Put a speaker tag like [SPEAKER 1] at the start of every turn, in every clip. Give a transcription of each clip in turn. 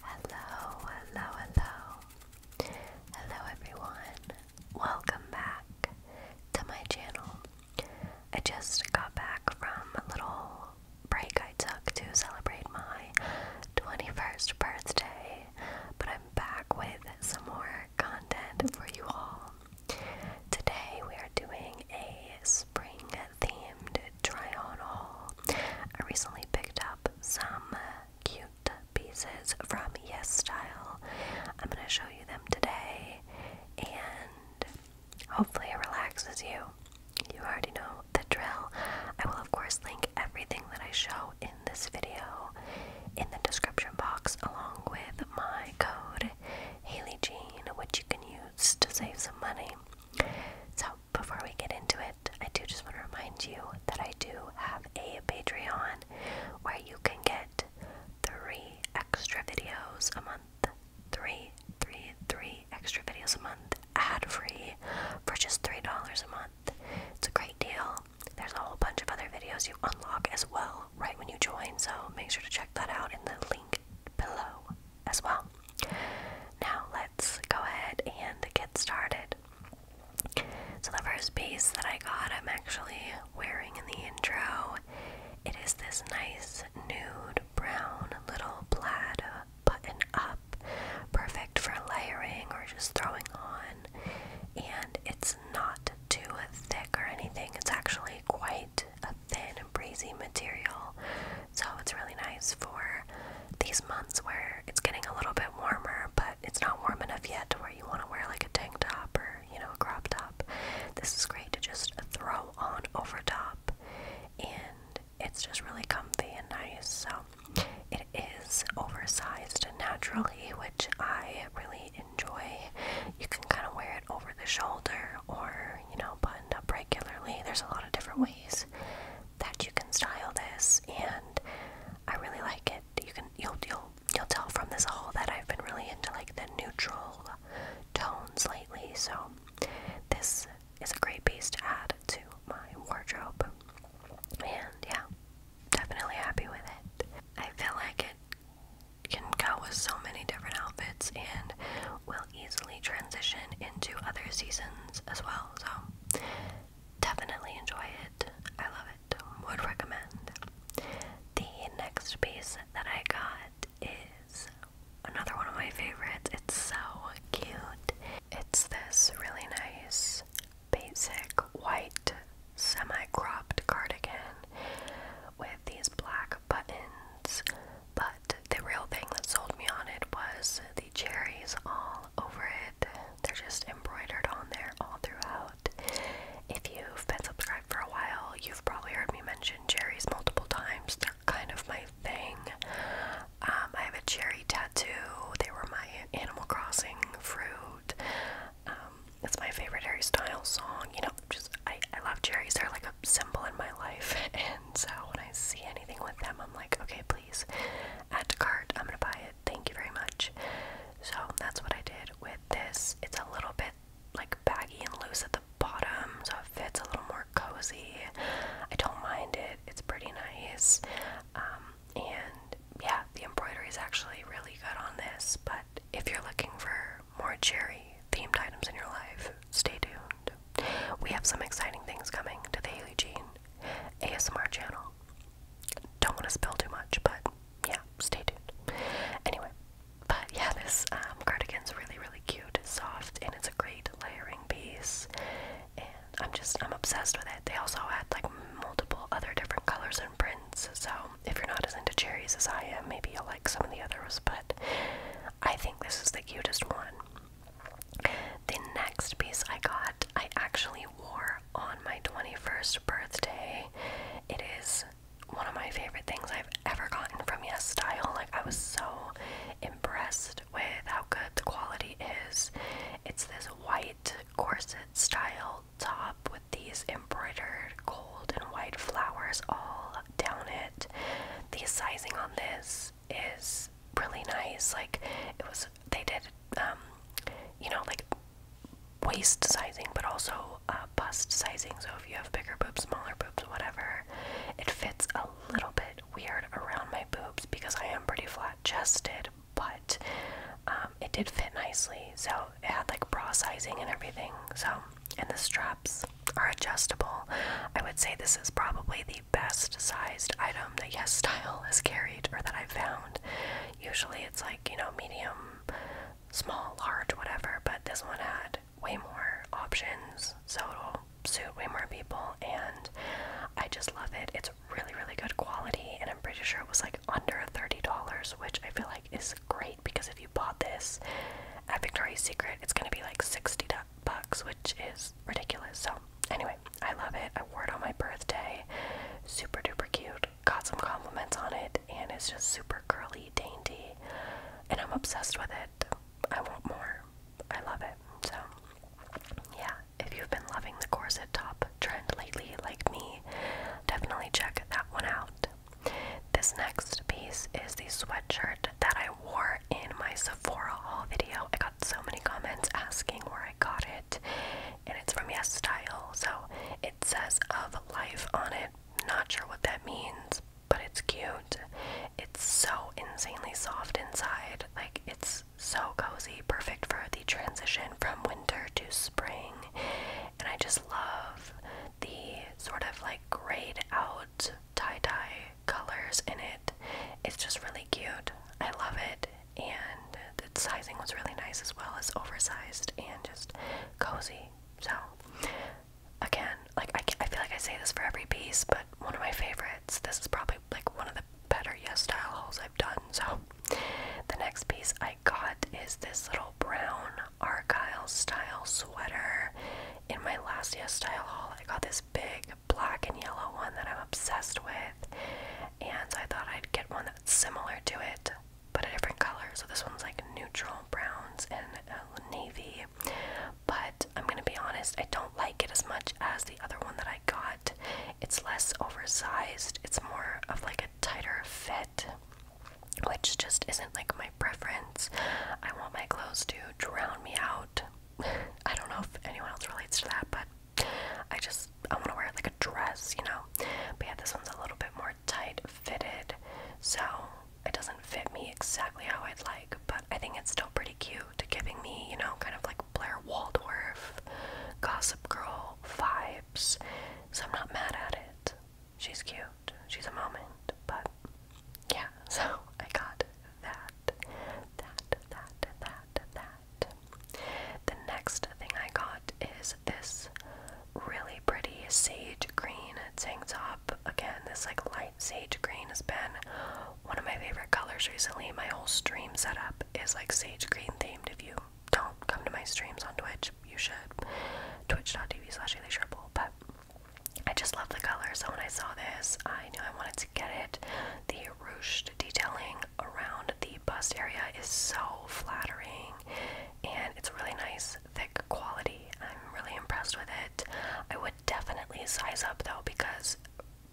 [SPEAKER 1] Hello, hello, hello. Hello, everyone. Welcome back to my channel. I just got back from a little break I took to celebrate my 21st birthday, but I'm back with some more content for you all. Today, we are doing a spring themed try on I recently picked up some cute pieces from Yes Style. I'm going to show you them today and hopefully it relaxes you. You already know the drill. I will, of course, link everything that I show in this video in the description box along with my code HaleyJean, which you can use to save some money. So before we get into it, I do just want to remind you that I do have a Patreon where you can get three extra videos a month. Three, three, three extra videos a month ad free for just $3 a month. It's a great deal. There's a whole bunch of other videos you unlock as well right when you join, so make sure to check that out in the link below as well. Now let's go ahead and get started. So the first piece that I got, I'm actually wearing in the intro. It is this nice nude brown little plaid button up, perfect for layering or just throwing on. And it's not too thick or anything. It's actually quite thin breezy material. So it's really nice for these months where it's getting a little bit warmer, but it's not warm enough yet to where you want to wear like a tank top or, you know, a crop top. This is great to just throw on over top and it's just really comfy and nice. So it is oversized naturally, which I really enjoy. You can kind of wear it over the shoulder or, you know, up regularly. There's a lot of different ways that you can style this, and I really like it. You can you'll you'll you'll tell from this haul that I've been really into like the neutral tones lately. So this is a great piece to add to my wardrobe, and yeah, definitely happy with it. I feel like it can go with so many different outfits and will easily transition into other seasons as well. So, definitely enjoy it. I love it. Would recommend. The next piece that I got is another one of my favorites. It's so cute. It's this really nice basic white semi cropped cardigan with these black buttons, but the real thing that sold me on it was the cherries all over it. They're just embroidered on there all throughout. If you've been subscribed for a while, you've probably heard me mention cherries multiple times. They're kind of my thing. Um, I have a cherry tattoo. They were my Animal Crossing fruit. Um, it's my favorite Harry Styles song. You know, just I, I love cherries. They're like a symbol in my life. And so when I see anything with them, I'm like, okay, please add to cart. I'm gonna buy it. Thank you very much. So that's what I did with this. It's a little bit like baggy and loose at the bottom, so it fits a little more cozy. I don't mind it. It's pretty nice. Um, and yeah, the embroidery is actually really good on this, but if you're looking for more cherry themed items in your life, stay tuned. We have some exciting things coming to the Haley Jean ASMR channel. Don't want to spill too much, but yeah, stay tuned. Anyway, but yeah, this um, cardigan's really, really cute. It's soft, and it's a great layering piece. And I'm just, I'm obsessed with it. They also had like multiple other different colors and prints, so if you're not as into cherries as I am, maybe you'll like some of the others, but I think this is the cutest one. The next piece I got, I actually wore on my 21st birthday. It is one of my favorite things I've ever gotten from Yes Style. Like, I was so impressed with how good the quality is. It's this white corset style top with these embroidered gold and white flowers all down it. The sizing on this is really nice. Like it was, they did, um, you know, like waist sizing, but also uh, bust sizing. So if you have bigger boobs, smaller boobs, whatever, it fits a little bit weird around my boobs because I am pretty flat chested but um, it did fit nicely. So it had like bra sizing and everything. So, and the straps are adjustable. I would say this is probably the best sized item that Yes Style has carried or that I've found. Usually it's like, you know, medium, small, large, whatever, but this one had way more options. So it'll suit way more people and I just love it. It's really, really good quality, and I'm pretty sure it was like under $30, which I feel like is great because if you bought this at Victoria's Secret, it's gonna be like 60 bucks, which is ridiculous. So, anyway, I love it. I wore it on my birthday. Super duper cute. Got some compliments on it, and it's just super curly, dainty, and I'm obsessed with it. I want more. I love it. So, yeah, if you've been loving the corset top trend lately, like me, definitely check that one out. This next piece is the sweatshirt that I wore in my Sephora haul video. I got so many comments asking where I got it, and it's from Yes Style, so it says of life on it. Not sure what that means, but it's cute. It's so insanely soft inside. Like, it's so cozy, perfect for the transition from winter to spring. And I just love the sort of like grayed out tie dye colors in it. It's just really cute. I love it. And the sizing was really nice as well as oversized and just cozy. So, again, like I, I feel like I say this for every piece, but one of my favorites favorites. This is probably like one of the better Yes Style hauls I've done. So, the next piece I got is this little brown Argyle style sweater. In my last Yes Style haul, I got this big black and yellow one that I'm obsessed with, and I thought I'd get one that's similar to it but a different color. So this one's like neutral browns and uh, navy. But I'm gonna be honest, I don't like it as much as the other one that I got. It's less oversized, it's more of like a tighter fit, which just isn't like my preference. I want my clothes to drown me out. I don't know if anyone else relates to that, but I just I want to wear it like a dress, you know. But yeah, this one's a little bit more tight fitted, so it doesn't fit me exactly how I'd like, but I think it's still pretty cute to giving me, you know, kind of like Blair Waldorf, Gossip Girl vibes. So I'm not mad at it. She's cute. She's a moment. But yeah, so I got that. That, that, that, that. The next thing I got is this really pretty sage green tank top. Again, this like light Sage green has been one of my favorite colors recently. My whole stream setup is like sage green themed. If you don't come to my streams on Twitch, you should. Twitch.tv slash But I just love the color, so when I saw this, I knew I wanted to get it. The ruched detailing around the bust area is so flattering and it's really nice, thick quality. I'm really impressed with it. I would definitely size up though because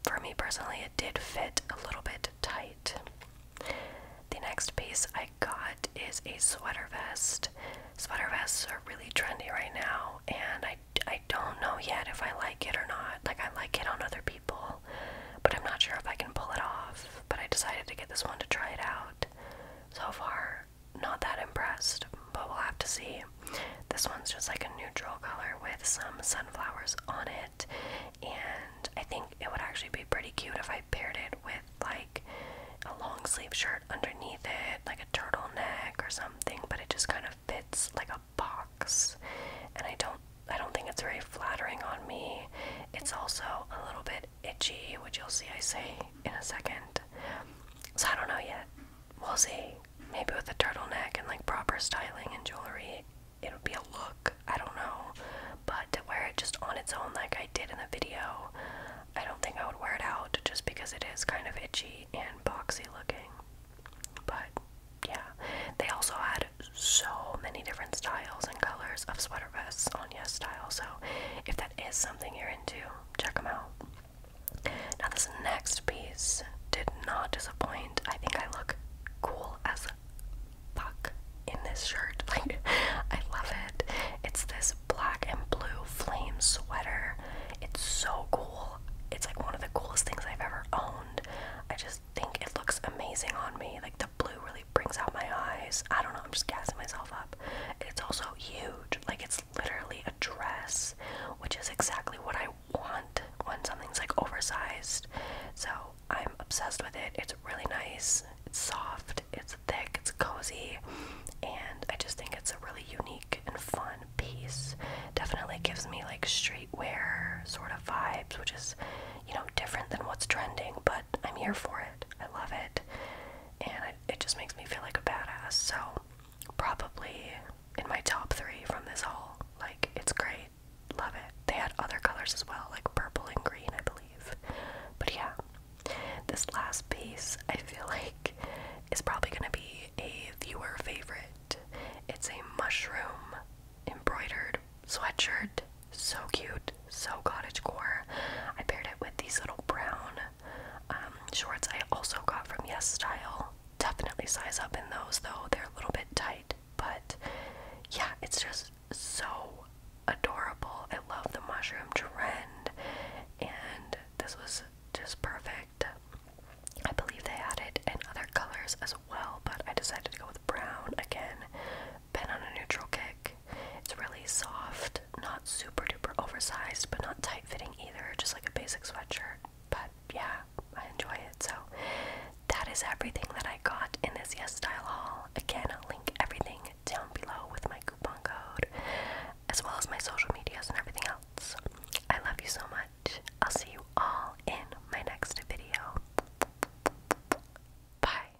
[SPEAKER 1] for me personally, it did fit a little bit tight. The next piece I got is a sweater vest. Sweater vests are really trendy right now, and I, I don't know yet if I like it or not. Like, I like it on other people, but I'm not sure if I can pull it off. But I decided to get this one to try it out. So far, not that impressed, but we'll have to see. This one's just like a neutral color with some sunflowers on it, and I think it would actually be pretty cute if I paired it with like a long sleeve shirt underneath it, like a turtleneck or something, but it just kind of fits like a box and I don't I don't think it's very flattering on me. It's also a little bit itchy, which you'll see I say in a second. So I don't know yet. We'll see. Maybe with a turtleneck and like proper styling and jewelry, it would be a look. I don't know. But to wear it just on its own, like I did in the video, I don't think I would wear it out just because it is kind of itchy and boxy looking. But yeah, they also had so many different styles and colors of sweater vests on Yes Style. So if that is something you're into, check them out. Now, this next piece did not disappoint. I think I look cool as fuck in this shirt. Like, I love it. It's this black and blue flame sweater. It's so cool. It's like one of the coolest things I've ever owned. I just think it looks amazing on me. Like, the blue really brings out my eyes. I don't know, I'm just gassing myself up. It's also huge. Like it's literally a dress, which is exactly what I want when something's like oversized. So I'm obsessed with it. It's really nice. It's soft. It's thick. It's cozy. And I just think it's a really unique and fun piece. Definitely gives me like streetwear sort of vibes, which is, you know, different than what's trending, but I'm here for it. I love it and it just makes me feel like a badass. So, probably in my top three from this haul. Like, it's great. Love it. They had other colors as well, like purple and green, I believe. But yeah, this last piece I feel like is probably gonna be a viewer favorite. It's a mushroom embroidered sweatshirt. So cute, so cottage core. I paired it with these little brown um, shorts I also got from Yes Style. Definitely size up in those though, they're a little bit tight, but yeah, it's just so adorable. I love the mushroom trend, and this was just perfect. I believe they had it in other colors as well, but I decided to go with brown again been on a neutral kick. It's really soft, not super duper oversized, but not tight fitting either, just like a basic sweatshirt. But yeah, I enjoy it. So that is everything that I got in this Yes Style haul. Again, I'll link everything down below with my coupon code, as well as my social medias and everything else. I love you so much. I'll see you all in my next video. Bye.